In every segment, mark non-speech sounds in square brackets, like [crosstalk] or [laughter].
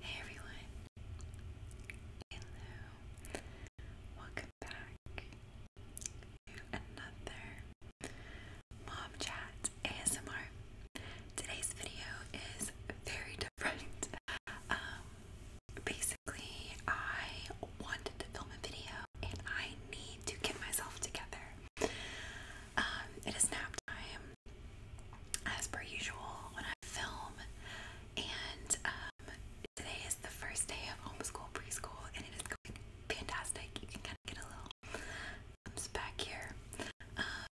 Hey everyone! Hello! Welcome back to another Mom Chat ASMR. Today's video is very [laughs] different. Um, basically, I wanted to film a video and I need to get myself together. Um, it is nap time as per usual when I film, and um, today is the first day of homeschool preschool, and it is going fantastic. You can kind of get a little thumbs back here. Um,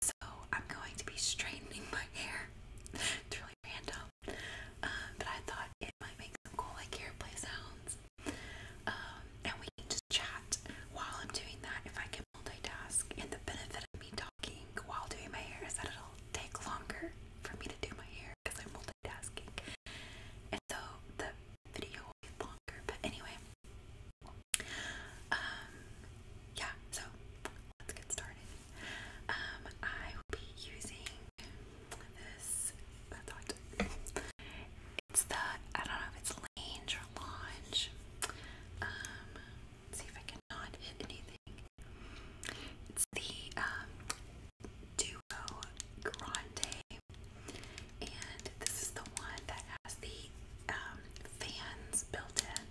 so I'm going to be straightening my hair. it's really random, um, but I thought it might make some cool like hair play sounds. and we can just chat while I'm doing that if I can multitask, and the benefit of me talking while doing my hair is that it'll take longer for me to do my hair because I'm multitasking. And so the video will be longer, but anyway. Um yeah, so let's get started. Um I will be using this I thought it's the I don't know if it's Lange or Lange. Um see if I can not hit anything. It's the um, Duo Grande, and this is the one that has the um, fans built in,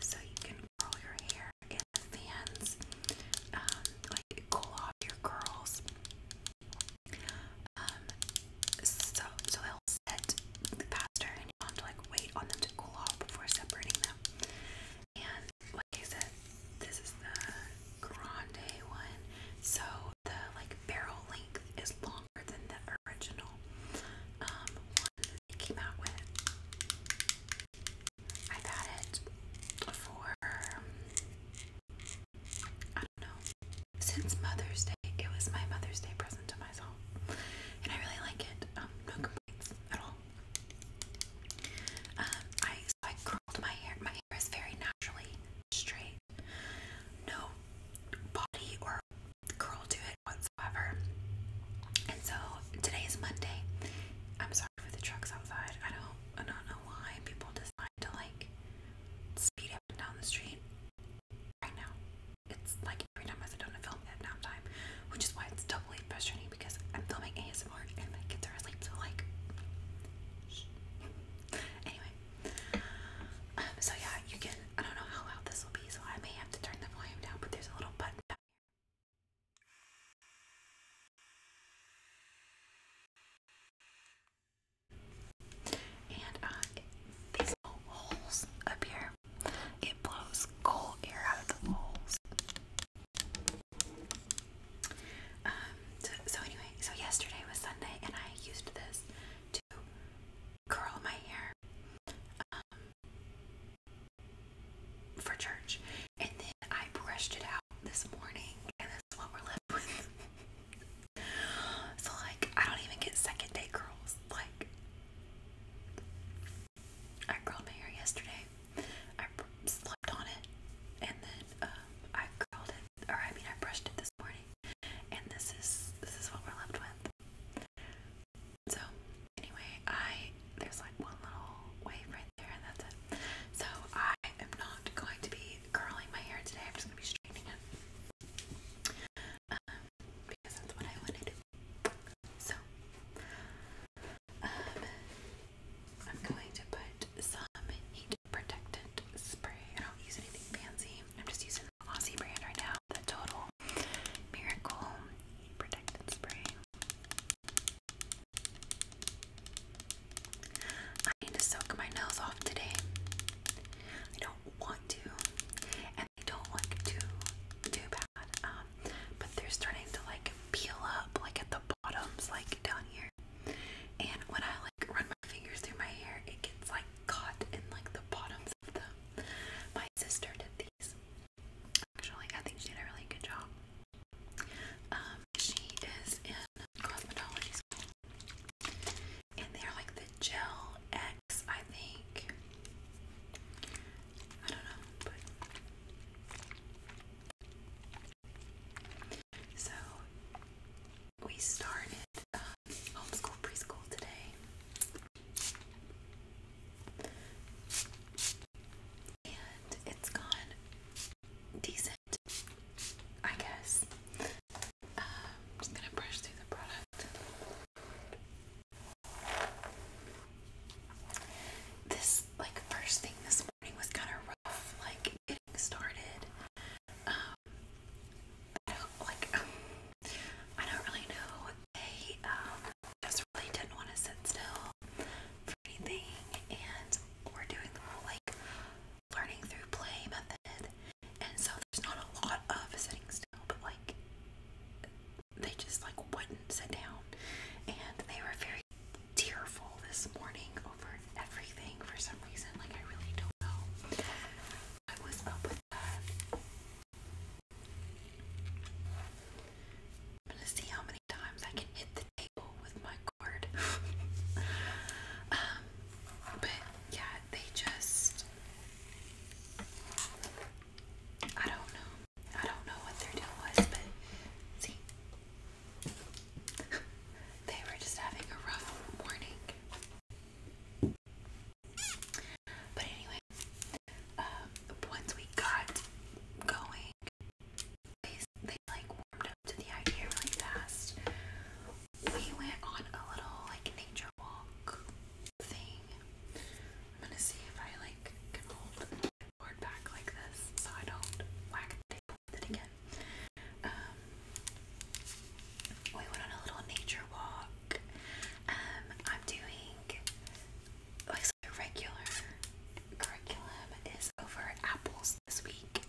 so you can curl your hair and the fans um, like cool off your curls. so so they set faster and you have to like wait on them to cool off before separating them. And like I said, this is the grande one. So the like barrel length is longer than the original um, came out with. I've it for um, I don't know. Since Mother's Day, it was my Mother's Day present to myself. And I really like it. Um, no complaints at all. Um, I so I curled my hair. My hair is very naturally straight. No body or curl to it whatsoever. And so today is Monday. I'm sorry for the trucks outside. I don't I don't know why people decide to like speed up and down the street right now it's like every time I sit down to film at downtime, which is why it's doubly frustrating because I'm filming ASMR and my kids are asleep, so like, anyway, um, so yeah, you can, I don't know how loud this will be, so I may have to turn the volume down, but there's a little button And uh, these little holes up here it blows cold air out of the holes. Um, so, anyway, so yesterday was Sunday, and I used this to curl my hair um, for church, and then I brushed it out this morning, and this what we're left with. [laughs] so like, I don't even get second day curls. Like, I curled my hair yesterday. I slept on it, and then uh, I curled it, or I mean, I brushed it this morning, and this is this is what we're left with. So anyway, I there's like one little wave right there, and that's it. So I am not going to be curling my hair today. I'm just gonna be straightening it um, because that's what I want to do. So, um, I'm going to put some heat protectant spray. I don't use anything fancy. I'm just using the Aussie brand right now, the Total Miracle Heat Protectant Spray. I need to soak my nails off today don't want to, and they don't look too too bad. Um, but they're starting to like peel up, like at the bottoms, like down here. And when I like run my fingers through my hair, it gets like caught in like the bottoms of them. My sister did these. Actually, I think she did a really good job. Um, she is in cosmetology school, and they're like the gel I think. I don't know, so we started um, homeschool preschool today. And it's gone decent, I guess. Um, just gonna brush through the product. This like first thing this morning was kind of rough, like getting started. Um, like. [laughs] I don't really know. They um, just really didn't want to sit still for anything, and we're doing the whole like learning through play method, and so there's not a lot of sitting still but like they just like wouldn't sit down, and they were very tearful this morning over everything for some reason. Like I really don't know what was up with that. I'm gonna see how many times I can hit the table with my cord. [laughs] um, but yeah, they just I don't know. I don't know what their deal was, but see, [laughs] they were just having a rough morning. But anyway, um, once we got going, they, they like warmed up to the idea really fast. We went on a little like nature walk thing I'm gonna see if I like can hold the board back like this so I don't whack the table with it again. Um, we went on a little nature walk. Um, I'm doing like so regular curriculum is over Apples this week,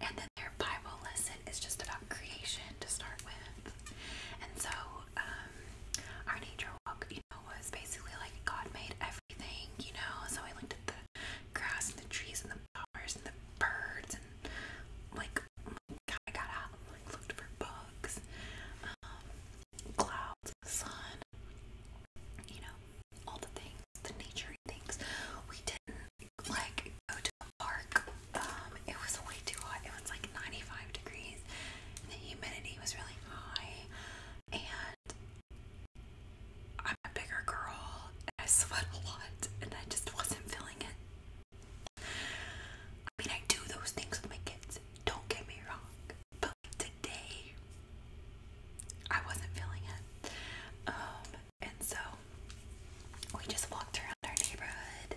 and then their Bible lesson is just about creation to start with. And so um, our nature walk, you know, was basically like God made everything, you know. So I looked at the grass and the trees and the flowers and the birds and like I got out and like looked for bugs, um, clouds, the sun, you know, all the things, the nature things. We didn't like go to a park um, it was way too hot. It was like 95 degrees. And the humidity was really high. And I'm a bigger girl. And I [laughs] sweat a lot. And I just wasn't feeling it. I mean, I do those things with my kids. Don't get me wrong. But today, I wasn't feeling it. Um, and so we just walked around our neighborhood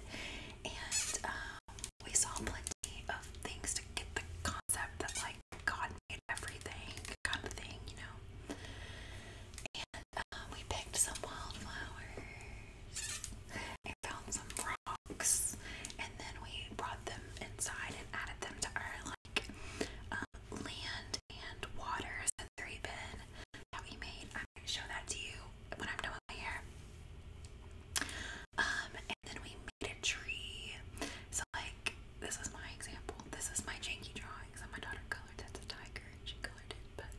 and um, we saw plenty of things to get the concept that like God made everything kind of thing, you know. And uh, we picked some wildflowers and found some rocks, and then we brought them inside and added them to our like um, land and water sensory bin that we made. I'm gonna show that to you when I'm done fire. Um, and then we made a tree. So like this is my example. This is my janky drawing. So my daughter colored that's a tiger and she colored it, but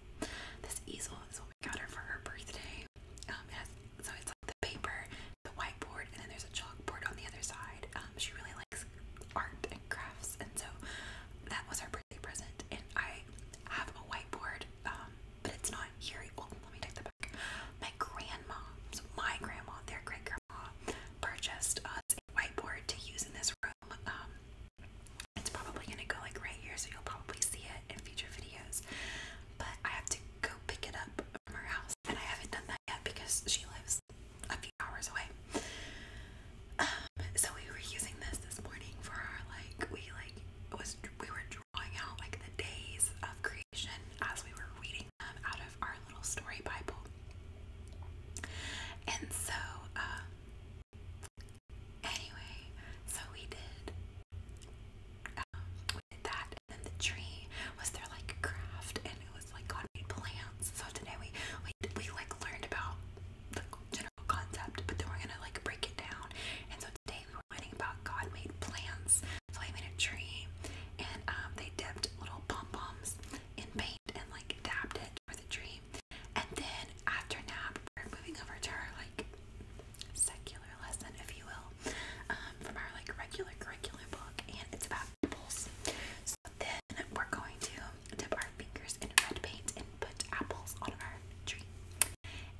this easel is what we got her for her birthday. Um it so it's like the paper, the whiteboard, and then there's a chalkboard on the other side. Um she really likes art and crafts and so that was her birthday present and I have a whiteboard um, but it's not here. Well, let me take that back. My grandma, my grandma, their great grandma, purchased us a whiteboard to use in this room. Um, it's probably gonna go like right here, so you'll probably see it in future videos. But I have to go pick it up from her house, and I haven't done that yet because she lives a few hours away. Um, so we were using this this morning for our like we like was we were out like the days of creation as we were reading them out of our little story Bible. And so, uh, anyway, so we did. Um, we did that, and then the tree was their like craft, and it was like God made plants. So today we we we like learned about the general concept, but then we're gonna like break it down. And so today we whining about God made plants. So I made a tree and um, they dipped little pom poms in paint and like dabbed it for the tree. And then after nap, we're moving over to our like secular lesson, if you will, um, from our like regular curriculum book, and it's about apples. So then we're going to dip our fingers in red paint and put apples on our tree.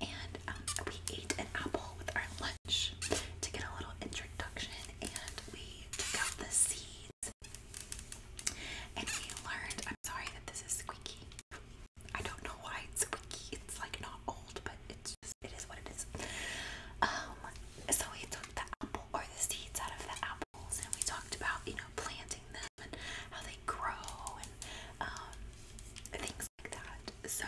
And um, we ate an apple with our lunch to get a little introduction, and we took out the seeds. And we learned, I'm sorry that this is squeaky. I don't know why it's squeaky. It's like not old, but it's just, it is what it is. Um, so we took the apple or the seeds out of the apples and we talked about, you know, planting them and how they grow and um, things so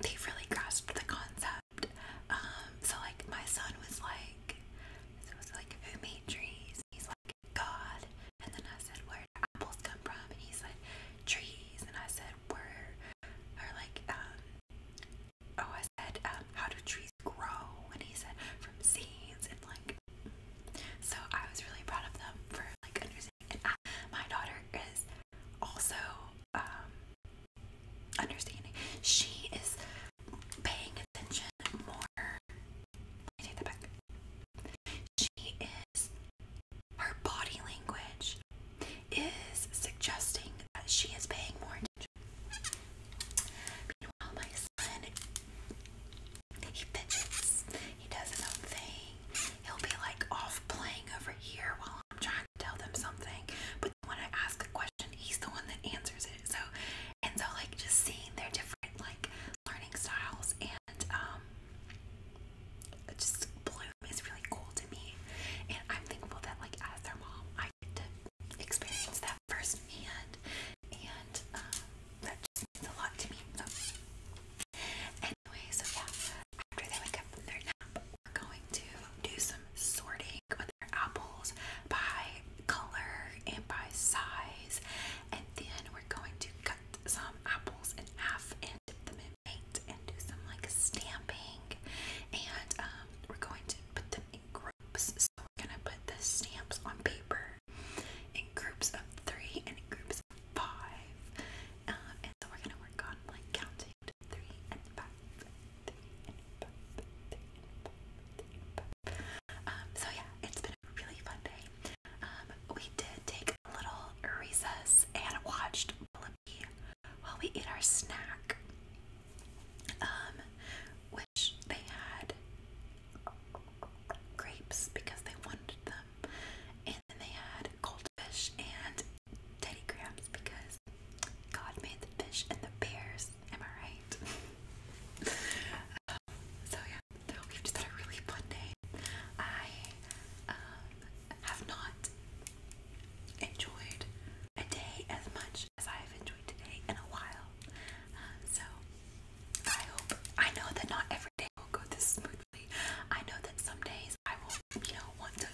they really grasped the concept. Um, so like my son was like, so it was like who made trees? He's like God. And then I said, where apples come from? And he said trees. And I said, where? Or like, um, oh, I said, um, how do trees grow? And he said, from seeds. And like, so I was really proud of them for like understanding and uh, my daughter is also um, understanding. She is paying attention more. take that back. She is. Her body language is suggesting that she is paying more attention. Meanwhile, my son he fidgets. He does his own thing. He'll be like off playing over here while I'm trying to tell them something. But when I ask a question, he's the one that answers it. So, and so like just seeing their different like learning styles and um, just Bloom is really cool to me. And I'm thankful that like as their mom, I get to experience that firsthand. And um, that just means a lot to me. Anyway, so yeah, after they wake up from their nap, we're going to do some sorting with their apples by color and by size, and then we're going to cut some apples in half and dip them in paint and do some like stamping, and um, we're going to put them in groups. So we're gonna put the stamps on paper in groups of three and in groups of five. Um, and so we're gonna work on like counting three and five, so yeah, it's been a really fun day. Um, we did take a little recess and watched Blippi while we ate our snack. Um, which they had grapes because they wanted them. And they had goldfish and teddy crabs because God made the fish and the bears. Am I right? [laughs] so yeah, so we've just had a really fun day. I um, have not enjoyed a day as much as I have enjoyed today in a while. Um, so I hope I know that not every day will go this smoothly I know that some days I will, you know, want to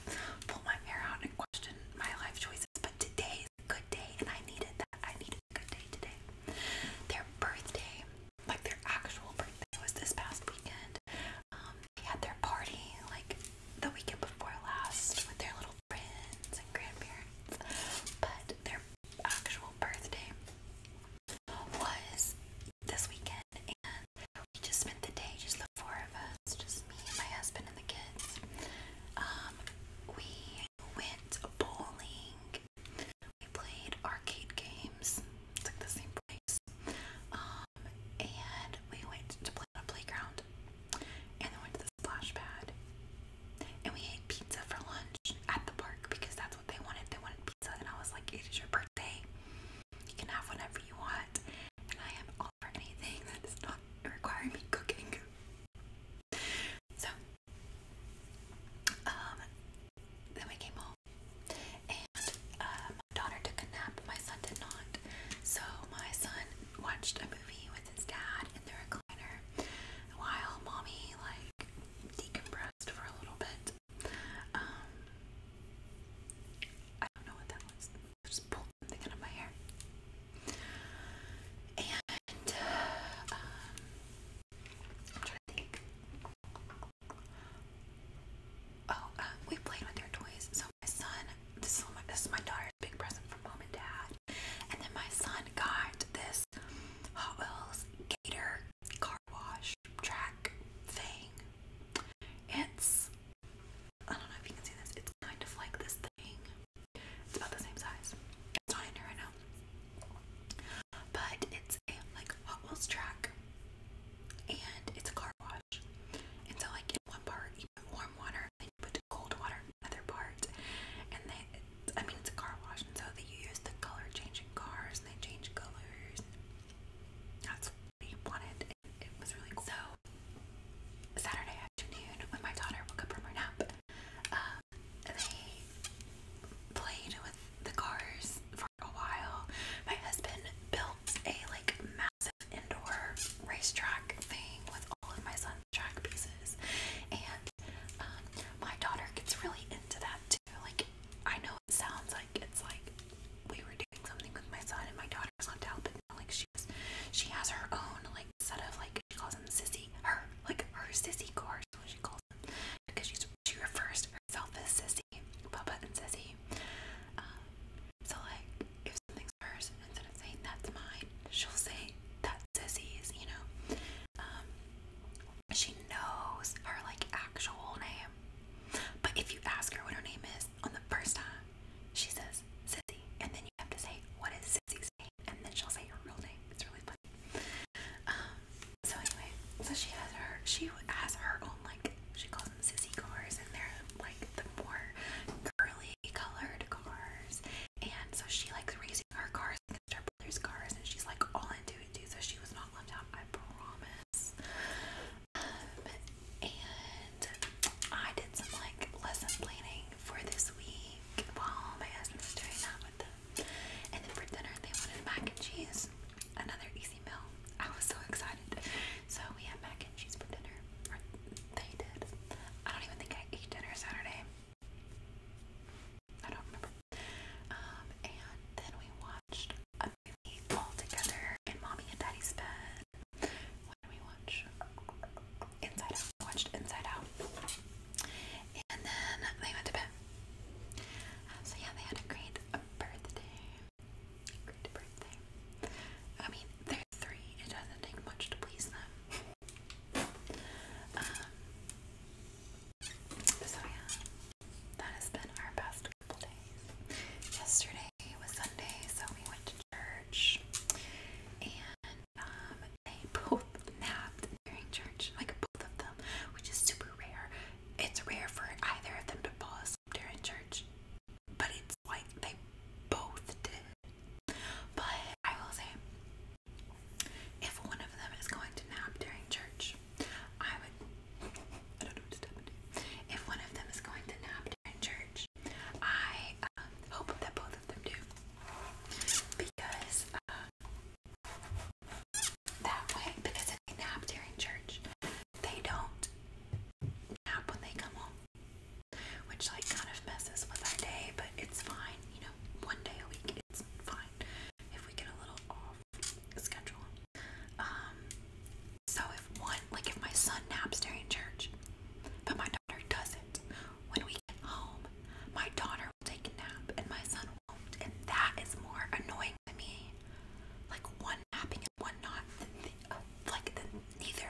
pull my hair out and question my life choices, but today is a good day and I needed that. I needed a good day today. Their birthday, like their actual birthday, was this past weekend. Um, they had their party like the weekend before last with their little friends and grandparents, but their actual birthday was this weekend, and we just spent the day, just the four of us, just me and my husband and the kids. Um, we went bowling. We played arcade games. It's like the same place. Um, and we went to play on a playground, and we went to the splash pad. And we ate pizza for lunch at the park because that they wanted. They wanted pizza, and I was like, "It is your birthday. You can have whatever you want." And I am all for anything that does not require me cooking. So, um, then we came home, and uh, my daughter took a nap. My son did not. So my son watched a movie with his dad in the recliner, while mommy like decompressed for a little bit. Um, I don't know what that was. just pulled something out of my hair. And, uh, um, I'm trying to think. Oh, uh, we played with their toys. So my son, this is my, this is my daughter's big present from mom and dad. And then my son got this Hot Wheels Gator wash track thing. It's I don't know if you can see this. It's kind of like this thing. It's about the same size. It's not in here right now. But it's a like Hot Wheels track and it's a car wash. And so like in one part you put warm water and you put cold water in another part. And they I mean it's a car wash and so they use the color changing cars they change colors. That's what he wanted. it was really cool. So Saturday afternoon, when my daughter woke up from her nap, um, they played with the cars for a while. My husband built a like massive indoor racetrack thing with all of my son's track pieces, and um, my daughter gets really into that too. Like I know know it sounds like it's like we were doing something with my son and my daughter's left out, but no, like she was, she has her own like set of like she calls them sissy, her like her sissy cars is what she calls them because she's she refers to herself as sissy, Papa and sissy. Um, so like if something's hers instead of saying that's mine, she'll say that's sissy's, you know. Um, she knows her like actual name. But if you ask her what her name is on the first time, she says Sissy, and then you have to say what is Sissy's name, and then she'll say her real name. It's really funny. Um, so anyway, so she has her she has her own like she calls them Sissy cars, and they're like the more curly colored cars. And so she likes raising her cars against her brother's cars, and she's like all into did She was not left out. I promise. and I did some like lesson planning for this week while my husband was doing that And then for dinner, they wanted mac and cheese. Another easy meal. I was so excited. So we had mac and cheese for dinner. they did. I don't even think I ate dinner Saturday. I don't remember. Um, and then we watched a movie all together in Mommy and Daddy's bed. What did we watch? Inside Out. watched Inside Out. And then they went to bed. Um, so yeah, they had a great birthday. Great birthday. I mean, they're three. It doesn't take much to please them. Um, so yeah that has been our past couple days. Yesterday was Sunday, so we went to church, and um, they [laughs] both napped during church, like both of them, which is super rare. It's rare for either of them to fall asleep during church, but it's like they both did. But I will say, if one of them is going to nap during church, I would if one of them is going to nap during church, I um, hope that both of them do. Because uh, that way, because if they nap during church, they don't nap when they come home. Which like kind of messes with our day, but it's fine. You know, one day a week, it's fine. If we get a little off, schedule. Um, so if one, like if my son naps during church, but my daughter doesn't, when we get home, my daughter will take a nap and my son won't, and that is more annoying to me. Like one napping and one not, uh, like the, neither.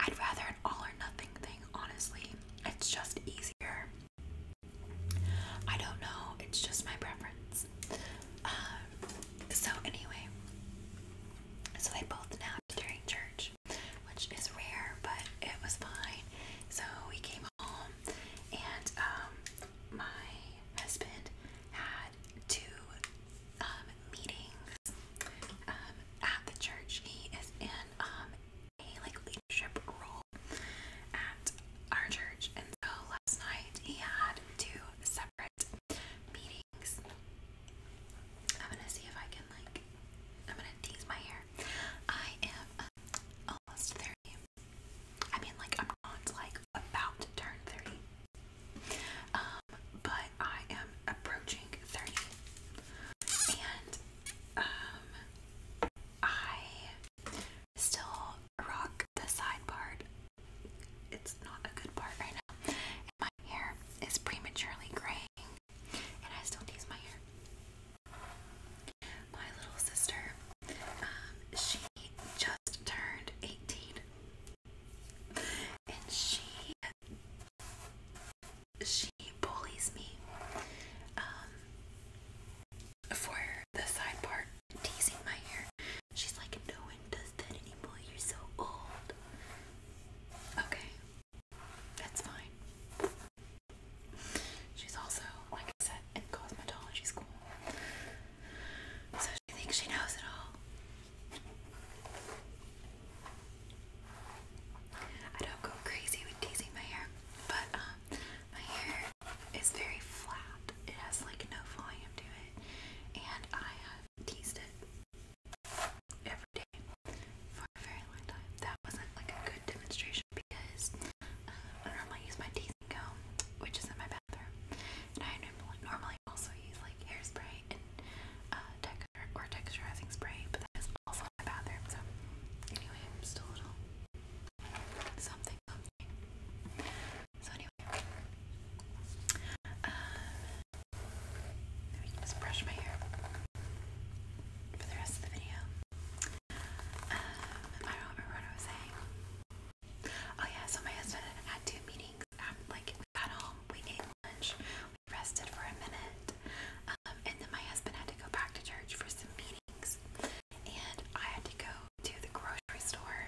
I'd rather an all or nothing thing, honestly. It's just easier. I don't know, it's just my preference. Um, so, anyway, so they both napped during church, which is rare, but it was fine. So, we came home, and um, my husband had two um, meetings at the church. He is in um, a like leadership role at our church. And so last night he had two separate meetings. I'm gonna see if I can like I'm gonna tease my hair. I am almost 30. I mean like I'm not like about to turn 30. Um, but I am approaching 30. And um I still rock the side part. It's not a good part right now. And my hair is prematurely graying, and I still tease my hair. My little sister, um, she just turned 18, and she she bullies me um, for the side part teasing my hair. She's like, no one does that anymore. You're so old. Okay, that's fine. She's also, like I said, in cosmetology school. So she thinks she knows it all. I don't go crazy with teasing my hair, but um, my hair it's very flat. It has like no volume to it, and I have teased it every day for a very long time. That wasn't like a good demonstration because um, I normally use my teasing comb, which is in my bathroom, and I normally also use like hairspray and uh, texture or texturizing spray, but that is also in my bathroom. So anyway, I'm something. So anyway, um, uh, maybe I just brush my hair for the rest of the video. Um, I don't remember what I was saying. Oh yeah, so my husband had two meetings. like got home, we ate lunch, we rested for a minute, um, and then my husband had to go back to church for some meetings and I had to go to the grocery store.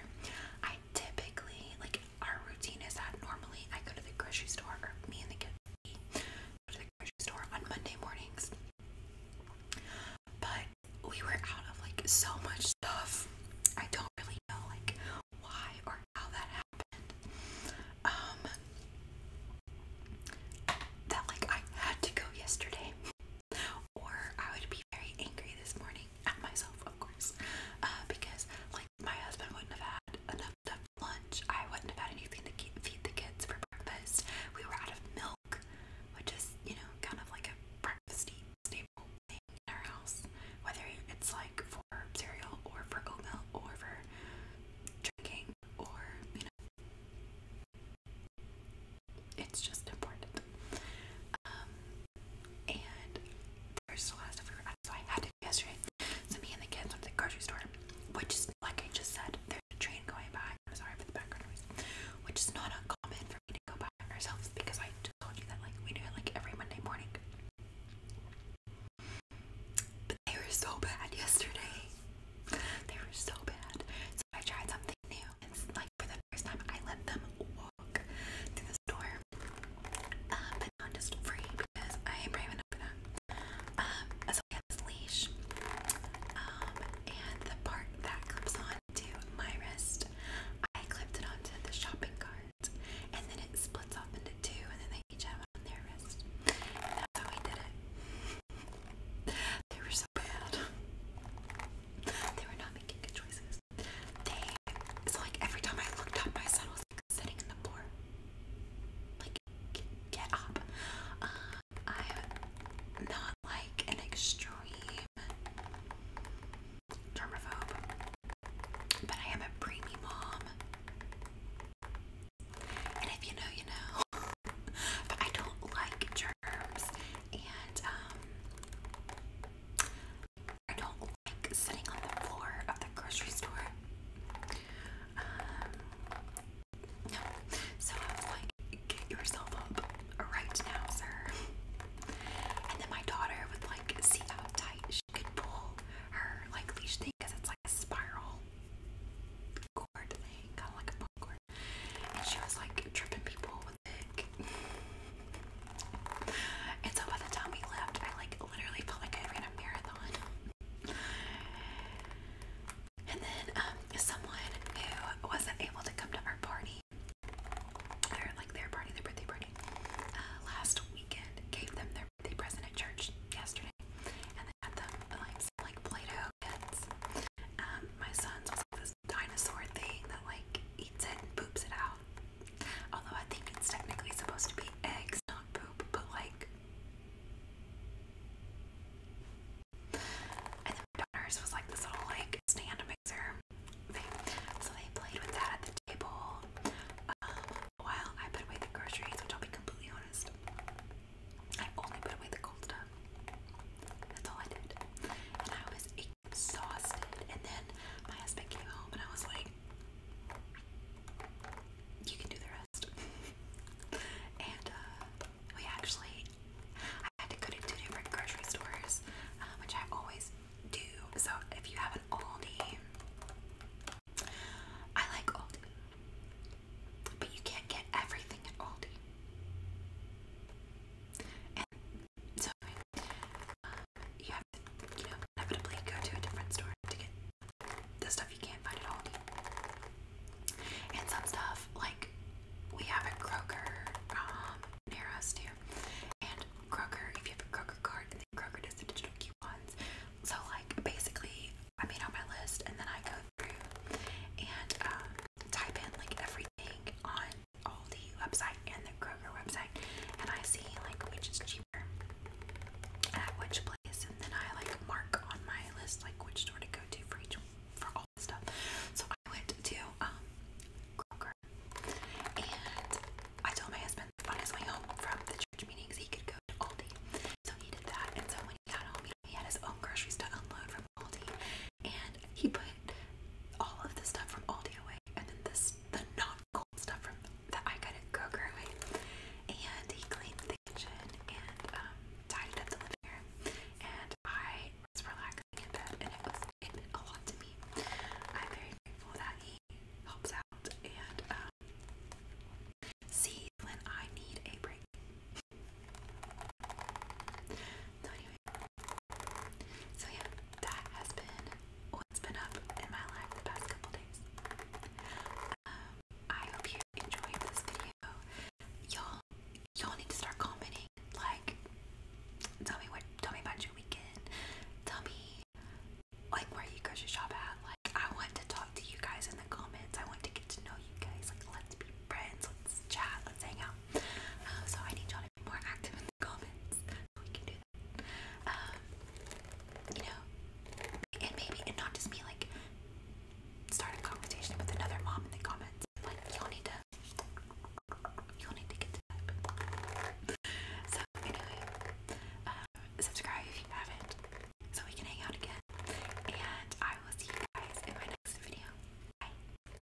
I typically, like, our routine is that normally I go to the grocery store, or me and the kids go to the grocery store on Monday mornings. But we were out of like so much stuff. I don't really know like why or how that happened. Um, that like I had to go yesterday. Or I would be very angry this morning at myself, of course, uh, because like my husband wouldn't have had enough, enough lunch. I wouldn't have had anything to keep, feed the kids for breakfast. We were out of milk, which is you know kind of like a breakfast staple thing in our house, whether it's like for cereal or for oatmeal or for drinking or you know it's just important. Um, and there's a lot of stuff we were out, so I had to do yesterday. So me and the kids went to the grocery store, which is like I just said, there's a train going by. sorry for the background noise, which is not uncommon for me to go by ourselves because I just told you that like we do it like every Monday morning. But they were so bad [laughs] yesterday. They were so bad. So I tried something it's like for the first time, I let them walk to the store, um, but not just free because I am brave enough for that. Um, I have this leash, um, and the part that clips on to my wrist, I clipped it onto the shopping cart, and then it splits off into two, and then they each have one on their wrist. that's how we did it. They were so bad. They were not making good choices. They, like every time I looked up, my son was sitting in the floor. Like, get, up. I'm um, not like an extreme germaphobe, but I am a preemie mom. And if you know, you know. [laughs] but I don't like germs and um, I don't like sitting on the floor of the grocery store. Um, so I was like, get yourself up right now, sir. And then my daughter would like see how tight she could pull her like leash thing it's like a spiral cord thing, kind of like a book and she was like tripping people with it. and so by the time we left, I like literally felt like I ran a marathon. And then um, someone who wasn't able to come to our party or like their party, their birthday party, uh, last weekend gave them their birthday present at church yesterday. And they had them like like Play-Doh kits. Um, my son's was like this dinosaur thing that like eats it and poops it out. Although I think it's technically supposed to be eggs, not poop, but like. And then my daughter's was like this little like stand mixer thing. So they played with that at the table um, while I put away the groceries, which I'll be completely honest. I only put away the cold stuff. That's all I did. And I was exhausted. And then my husband came home and I was like, you can do the rest. [laughs] and uh, we actually, I had to go to two different grocery stores, um, which I always do. So if you have an Aldi, I like Aldi, but you can't get everything at Aldi. so you have to, you know, inevitably go to a different store to get the stuff you can't find at Aldi. And some stuff, like, we have a Kroger um, near us too. And Kroger, if you have a Kroger card, and then Kroger does the digital coupons. So, like, basically, I made out my list and then I go through and uh, type in like everything on Aldi website and the Kroger website, and I see like which is cheaper at which place, and then I like mark on my list like which store to go to for each for all the stuff. So I went to um Kroger, and I told my husband on his way home from the church meetings he could go to Aldi, so he did that. And so when he got home, he had his own groceries to unload from Aldi, and he put all of the stuff from Aldi away, and then this the not cold stuff from that I got at Kroger away, and he cleaned the kitchen and um, tidied up the living room, and I was relaxing in bed, and it was it a lot to me. I'm very grateful that he helps out and um, when I need a break. So yeah, that has been what's been up in my life the past couple days. Um, I hope you enjoyed this video. Y'all, y'all need to start commenting. Like, tell me what, tell me about your weekend. Tell me like where you go to shop at. Like, I want to talk to you guys in the comments. I want to get to know you guys. Like, let's be friends. Let's chat. Let's hang out. Um, so I need y'all more active in the comments, so we can do that. Um, you know, and maybe, and not just me, like, start a conversation with another mom in the comments. Like, you'll need to, you'll need to get to So, anyway, um, subscribe if you haven't, so we can hang out again. And I will see you guys in my next video. Bye.